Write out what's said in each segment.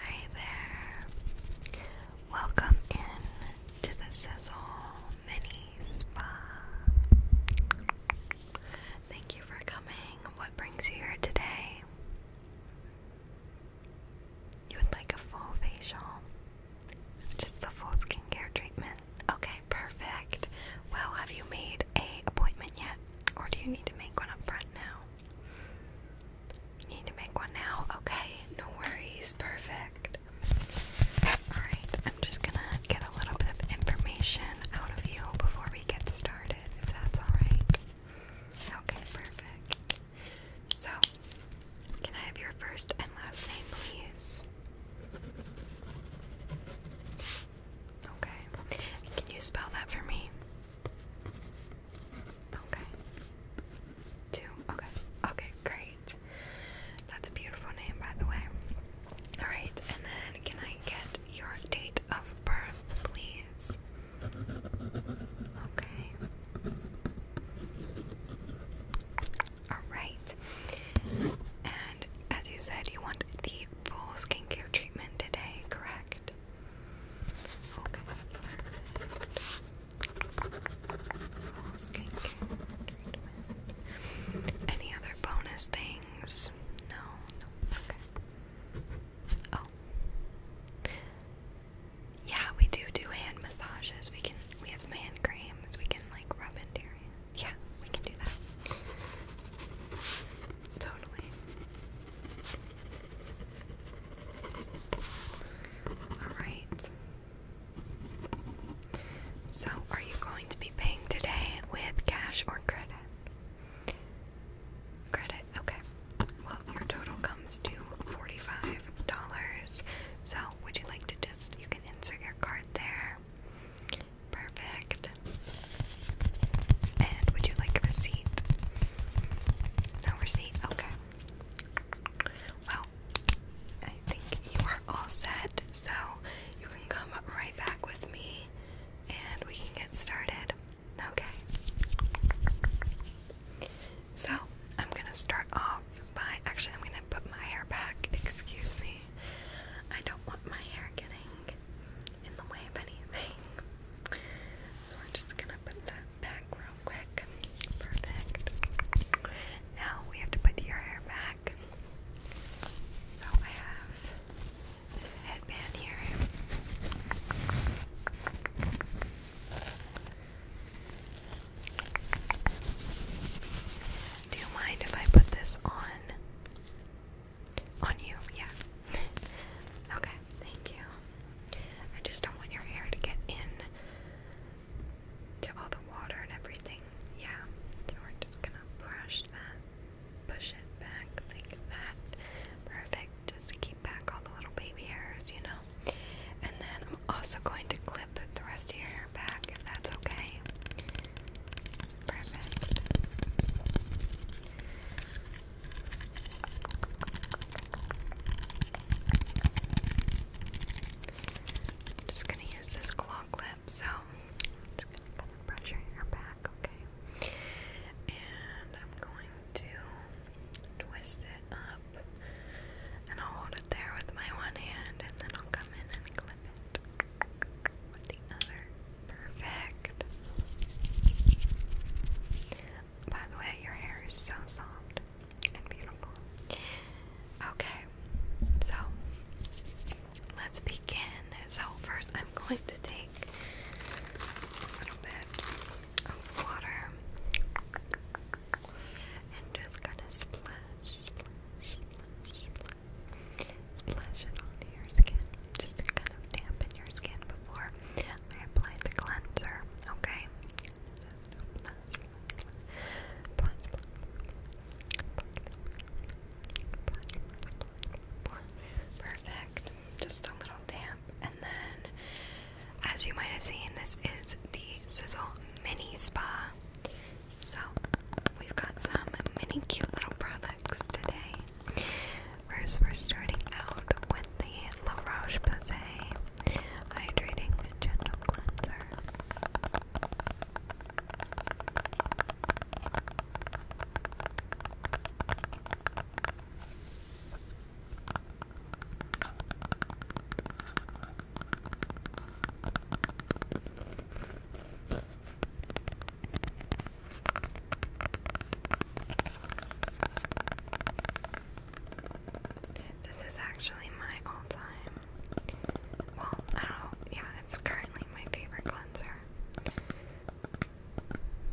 Hi there. Welcome in to the Sizzle Mini Spa. Thank you for coming. What brings you here today? You would like a full facial? Just the full skincare treatment? Okay, perfect. Well, have you made a appointment yet? Or do you need to make one up front now? Need to make one now. Okay, no worries. Perfect. Alright, I'm just gonna get a little bit of information out of you before we get started, if that's alright. Okay, perfect. So, can I have your first and last name, please? Okay. Can you spell that for me? Okay. Two. Okay. Okay, great. That's a beautiful name, by the way. Alright, and then can I get your date of birth, please? Okay. Alright. And as you said, you want the full skincare treatment today, correct? Okay, perfect. Skincare treatment. Any other bonus things? No, no. Okay. Oh. Yeah, we do do hand massages. We can. We have some hand creams. We can like rub into your hand. Yeah, we can do that. Totally. Alright. So, are you going to be paying today with cash or credit? Credit, okay. Well, your total comes to $45. So, would you like to just, you can insert your card there. Perfect. And would you like a receipt? No receipt? Okay. Well, I think you are all set, so you can come right back with me and we can get started. Okay. So, I'm gonna start off by actually, I'm gonna put my hair back. Excuse me. I don't want my hair getting in the way of anything. So we're just gonna put that back real quick. Perfect. Now we have to put your hair back. So I have this headband here. Do you mind if I put this on on you, yeah. okay, thank you. I just don't want your hair to get in to all the water and everything. Yeah, so we're just gonna brush that, push it back like that. Perfect. Just keep back all the little baby hairs, you know. And then I'm also going to clip the rest of your hair back if that's okay. Perfect just gonna use this claw clip, so just gonna kind of brush your hair back, okay? And I'm going to twist it up, and I'll hold it there with my one hand, and then I'll come in and clip it. Perfect. By the way, your hair is so soft and beautiful. Okay, so let's begin. So, first, I'm going to take a little bit of water and just kind of splash splash it onto your skin just to kind of dampen your skin before I the cleanser, okay? Perfect. Just a little damp. And then, as you might have seen, this is the Sizzle Mini Spa. So, we've got some many cute little products today. First, we're starting out with the La Roche Posay Hydrating Gentle Cleanser. This is actually my all time. Well, I don't know. Yeah, it's currently my favorite cleanser.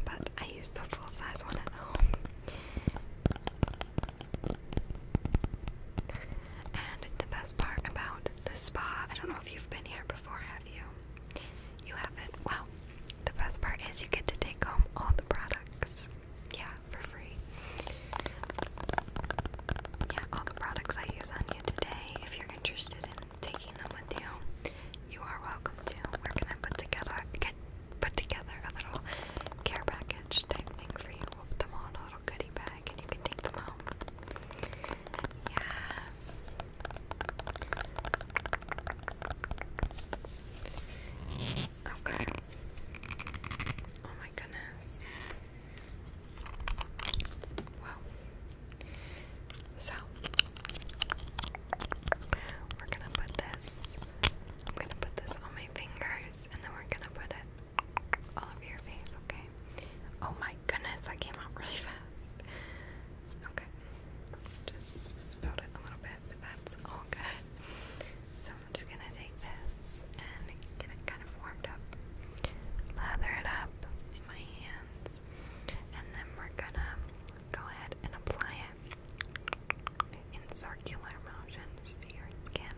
But I use the full size one at home. And the best part about the spa, I don't know if you've been here before, have you? you have it. Well, the best part is you get to take home all the products. Yeah, for free. Yeah, all the products I use on you today. If you're interested in taking them with you, you are welcome to. We're gonna put together put together a little care package type thing for you. We'll put them all in a little goodie bag and you can take them home. Yeah. Okay. Oh my goodness. Wow. So we're gonna put this. I'm gonna put this on my fingers, and then we're gonna put it all over your face. Okay. Oh my goodness, that came out really fast. Okay. Just spilled it a little bit, but that's all good. So I'm just gonna take this and get it kind of warmed up, lather it up in my hands, and then we're gonna go ahead and apply it in circular motions to your skin.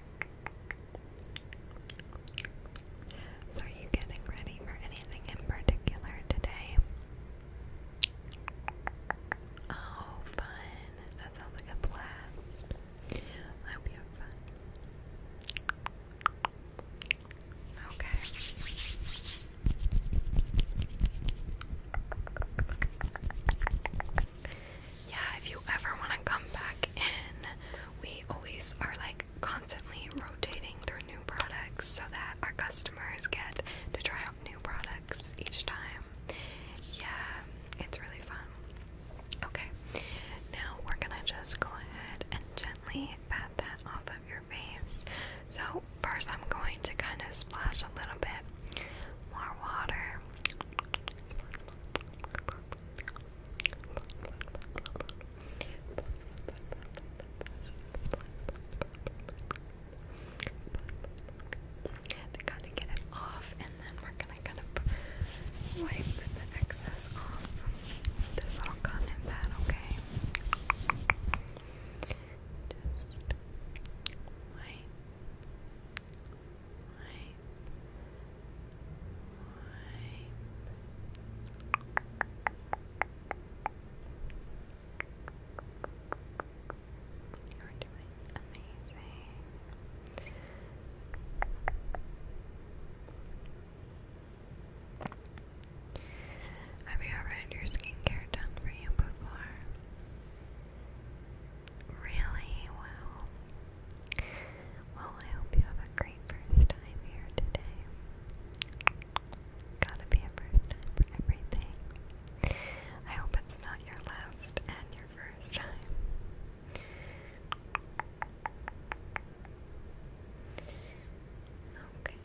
So, are you getting ready for anything in particular today? Oh, fun! That sounds like a blast. I hope you have fun. Okay yeah, if you ever want to come back in, we always are like constantly rotating through new products so that our customers get to try out new products each time. Yeah, it's really fun. Okay, now we're gonna just go ahead and gently pat that off of your face. So, first, I'm going to kind of splash a little bit more water. And kind of get it off, and then we're gonna kind of wipe the excess off this little cotton pad, okay? Just wipe you're doing amazing. Have you ever had your skincare done for you before? Really? Wow. Well, I hope you have a great first time here today. Gotta be a first time I hope it's not your last and your first time. Okay,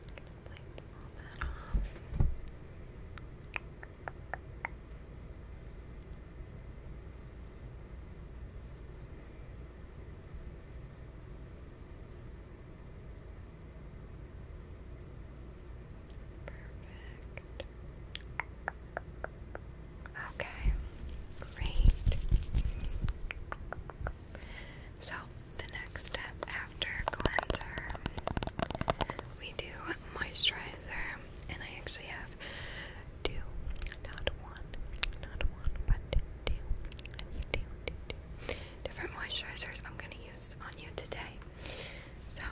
just gonna wipe all that off. Perfect. Okay, great. So, the next step after cleanser, we do moisturizer and I actually have two, not one, not one, but two, two, two, two different moisturizers I'm going to use on you today. So,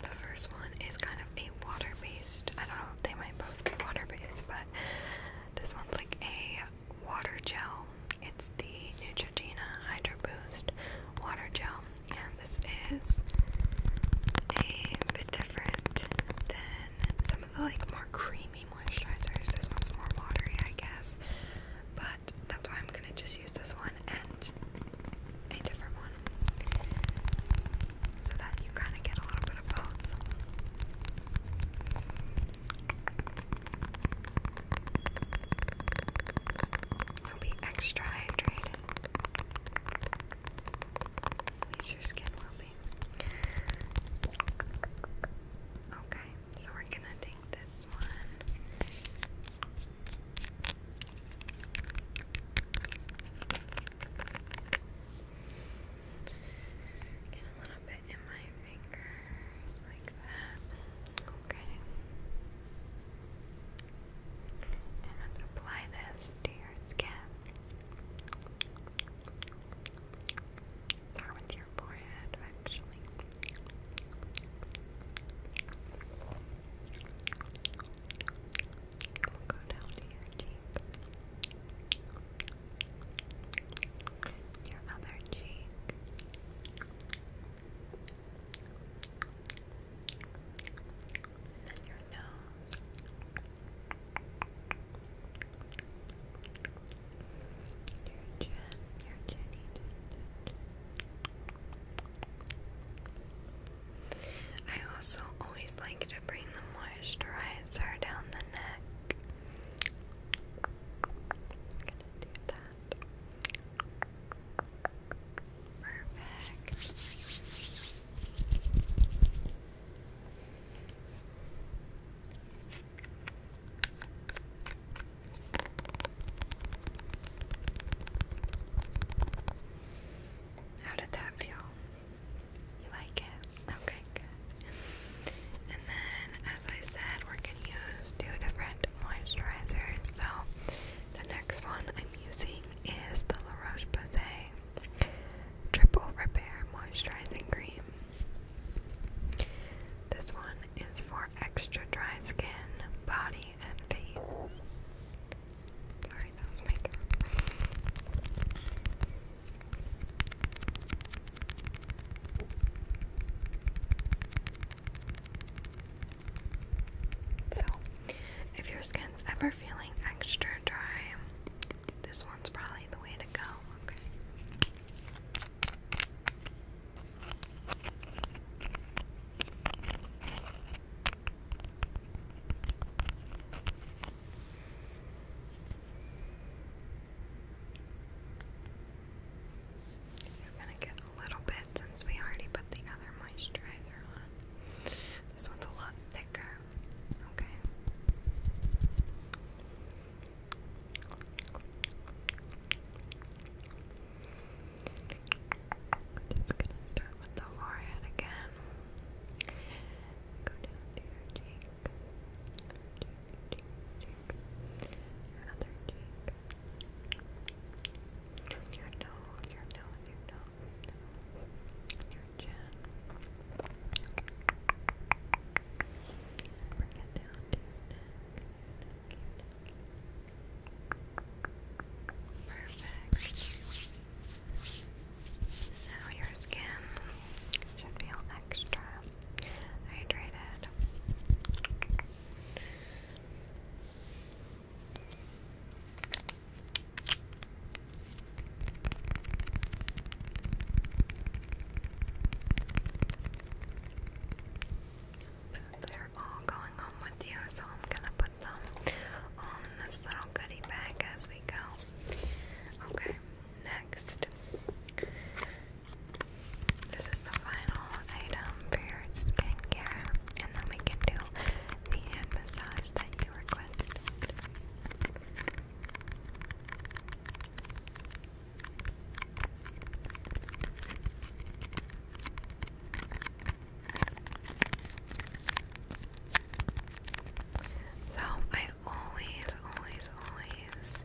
the first one is kind of a water based, I don't know, they might both be water based, but this one's like a water gel. It's the Neutrogena Hydro Boost Water Gel and this is a bit different than some of the like more creamy moisturizers. This one's more watery, I guess, but that's why I'm gonna just use this one and a different one so that you kind of get a little bit of both and be extra hydrated. your skin will be. Okay, so we're gonna take this one. Get a little bit in my fingers like that. Okay and apply this to your skin. Start with your forehead, actually. go down to your cheek, your other cheek, then your nose. Your chin, your chinny I also always like to bring the moisturizer down the neck that. Perfect. How did that feel? You like it? Okay, And then, as I said, we're going to use two different moisturizers. So, the next one I'm using is the La Roche Posay Triple Repair Moisturizing Cream. This one is for extra dry skin, body, and face. Sorry, that was my so, if your skin's ever feeling extra dry, this one's probably the way to go, okay? It's gonna get a little bit since we already put the other moisturizer on. This one's a lot thicker. Okay. Just gonna start with the forehead again. Go down to your cheek. Your other cheek your nose, your nose, your nose, your chin. Bring it down Perfect. Now your skin should feel extra hydrated. They're all going home with you, so I'm gonna put them all this little goodie bag as we go. Okay, next. This is the final item for your skincare, and then we can do the hand massage that you requested. So, I always, always, always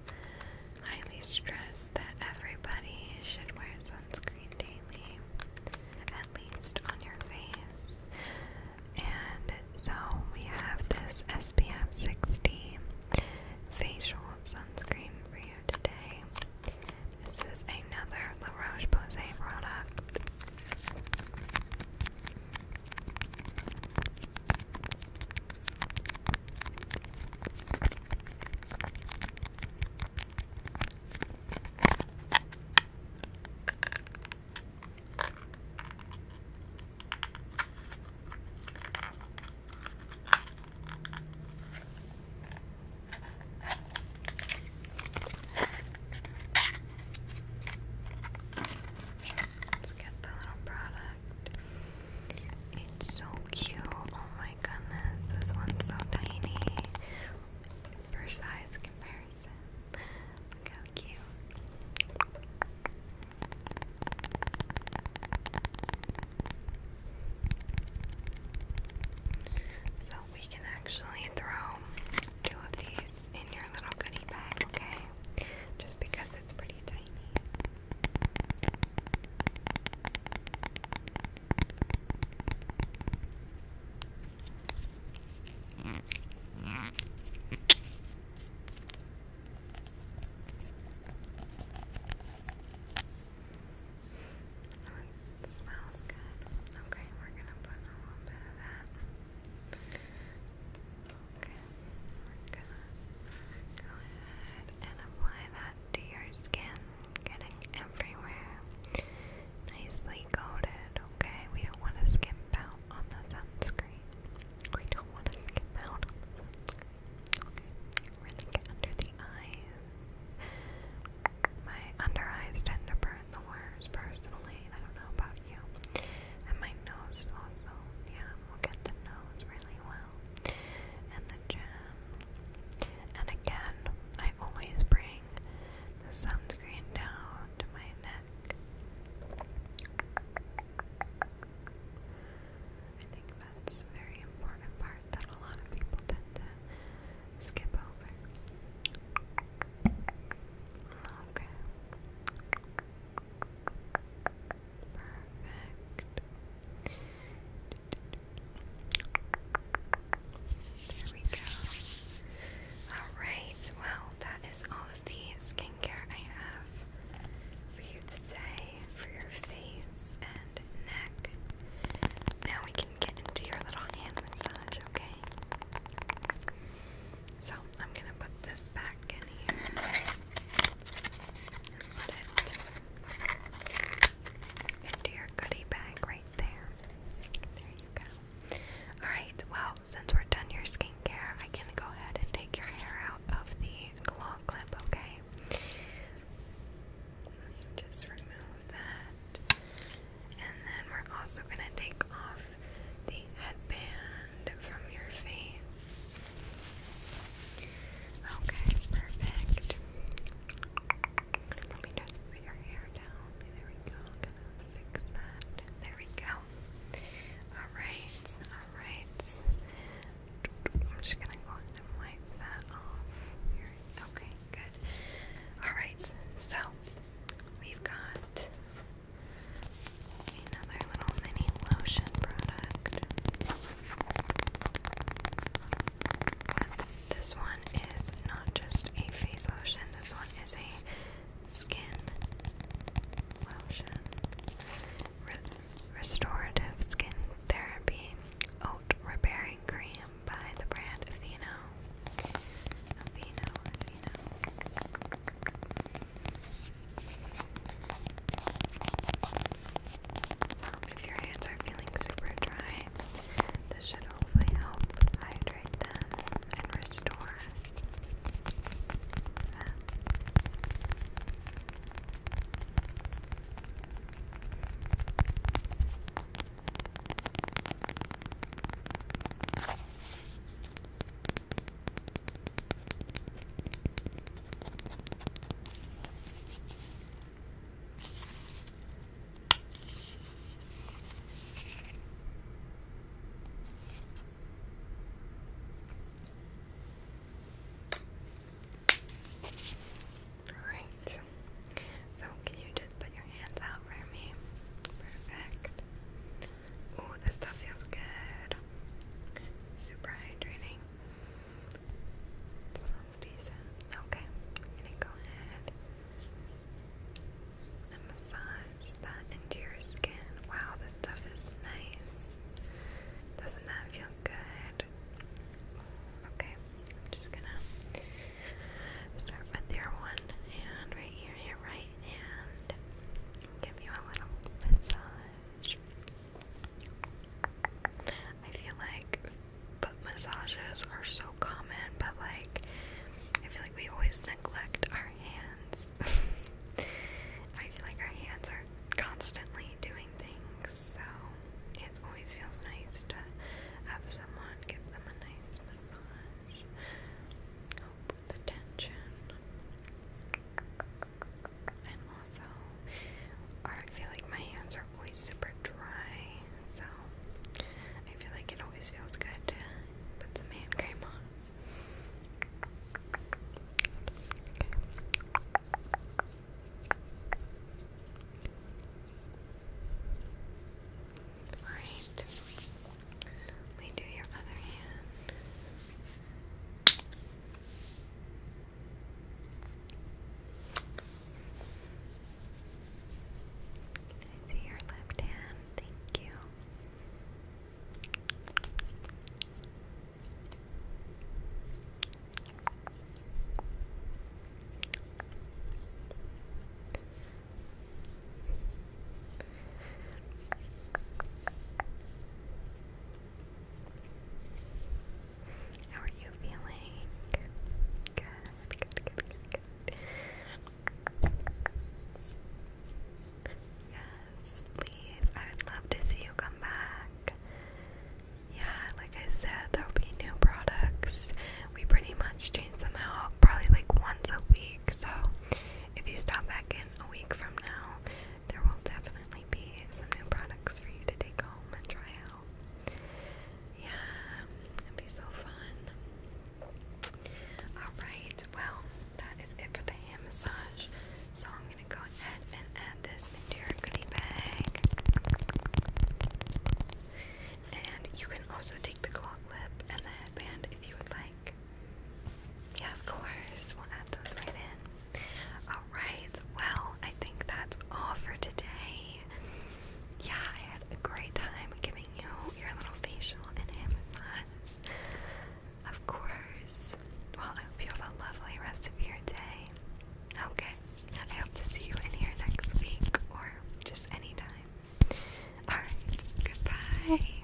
highly stress that everybody should wear daily, at least on your face. And so we have this SPF 60 facial sunscreen for you today. This is another La Roche Posay product. Let's get the little product. It's so cute. Oh my goodness, this one's so tiny size comparison. Look how cute. So we can actually throw two of these in your little goodie bag, okay? Just because it's pretty tiny it smells good. Okay, we're gonna put a little bit of that. Okay, we're gonna go ahead and apply that to your skin getting everywhere. Nicely coated, okay? We don't want to skimp out on the sunscreen. We don't want to skimp out on the sunscreen. Okay, really get under the eyes. My under eyes tend to burn the worst, personally. I don't know about you. And my nose also. Yeah, we'll get the nose really well. And the chin. And again, I always bring the sunscreen down to my neck. I think that's a very important part that a lot of people tend to skip over. Okay. Perfect. There we go. Alright, well, that is all of the skincare I have for you today for your face and neck. Now we can get into your little hand massage, okay? So I'm gonna put this back in here into your goodie bag right there. There you go. Alright, well, since we're done your skincare, I can go ahead and take your hair out of the claw clip, okay? Just remove that. And then we're also going to take off the headband from your face. Okay, perfect. Let me just put your hair down. There we go. Gonna fix that. There we go. Alright, alright. I'm just gonna go and wipe that off. Okay, good. Alright, so we've got another little mini lotion product. This one is not just a face lotion, this one is a skin lotion. restorative Skin Therapy Oat Repairing Cream by the brand Aveeno. Aveeno, Aveeno. So, if your hands are feeling super dry, this should hopefully help hydrate them and restore them. Um, Alright. So can you just put your hands out for me? Perfect. Ooh, this stuff feels good. Super hydrating. Sounds decent. Okay, I'm gonna go ahead and massage that into your skin. Wow, this stuff is nice. Doesn't that feel good? Okay, I'm just gonna start with your one hand right here, your right hand. Give you a little massage. I feel like foot massages are so common, but like I feel like we always neglect our hands. I feel like our hands are constantly doing things, so it always feels nice to have someone give them a nice massage. Help the tension. And also, I feel like my hands are always super dry, so I feel like it always feels good to put some hand cream on. Okay. Alright. Let me do your other hand. I see your left hand. Thank you. How are you feeling? Good, good, good, good, good. Yes, please. I would love to see you come back. Yeah, like I said, there'll be new products. We pretty much change them out probably like once a week. So if you stop back in a week from now, there will definitely be some new products for you to take home and try out. Yeah, it'd be so fun. Alright, well, that is it for the hand massage. So I'm gonna go ahead and add this into your goodie bag. And you can also take the clock lip and the headband if you would like. Yeah, of course. We'll add those right in. Alright, well, I think that's all for today. Yeah, I had a great time giving you your little facial and hand massage. Of course. Well, I hope you have a lovely rest of your day. Okay. I hope to see you in here next week or just anytime. Alright, goodbye.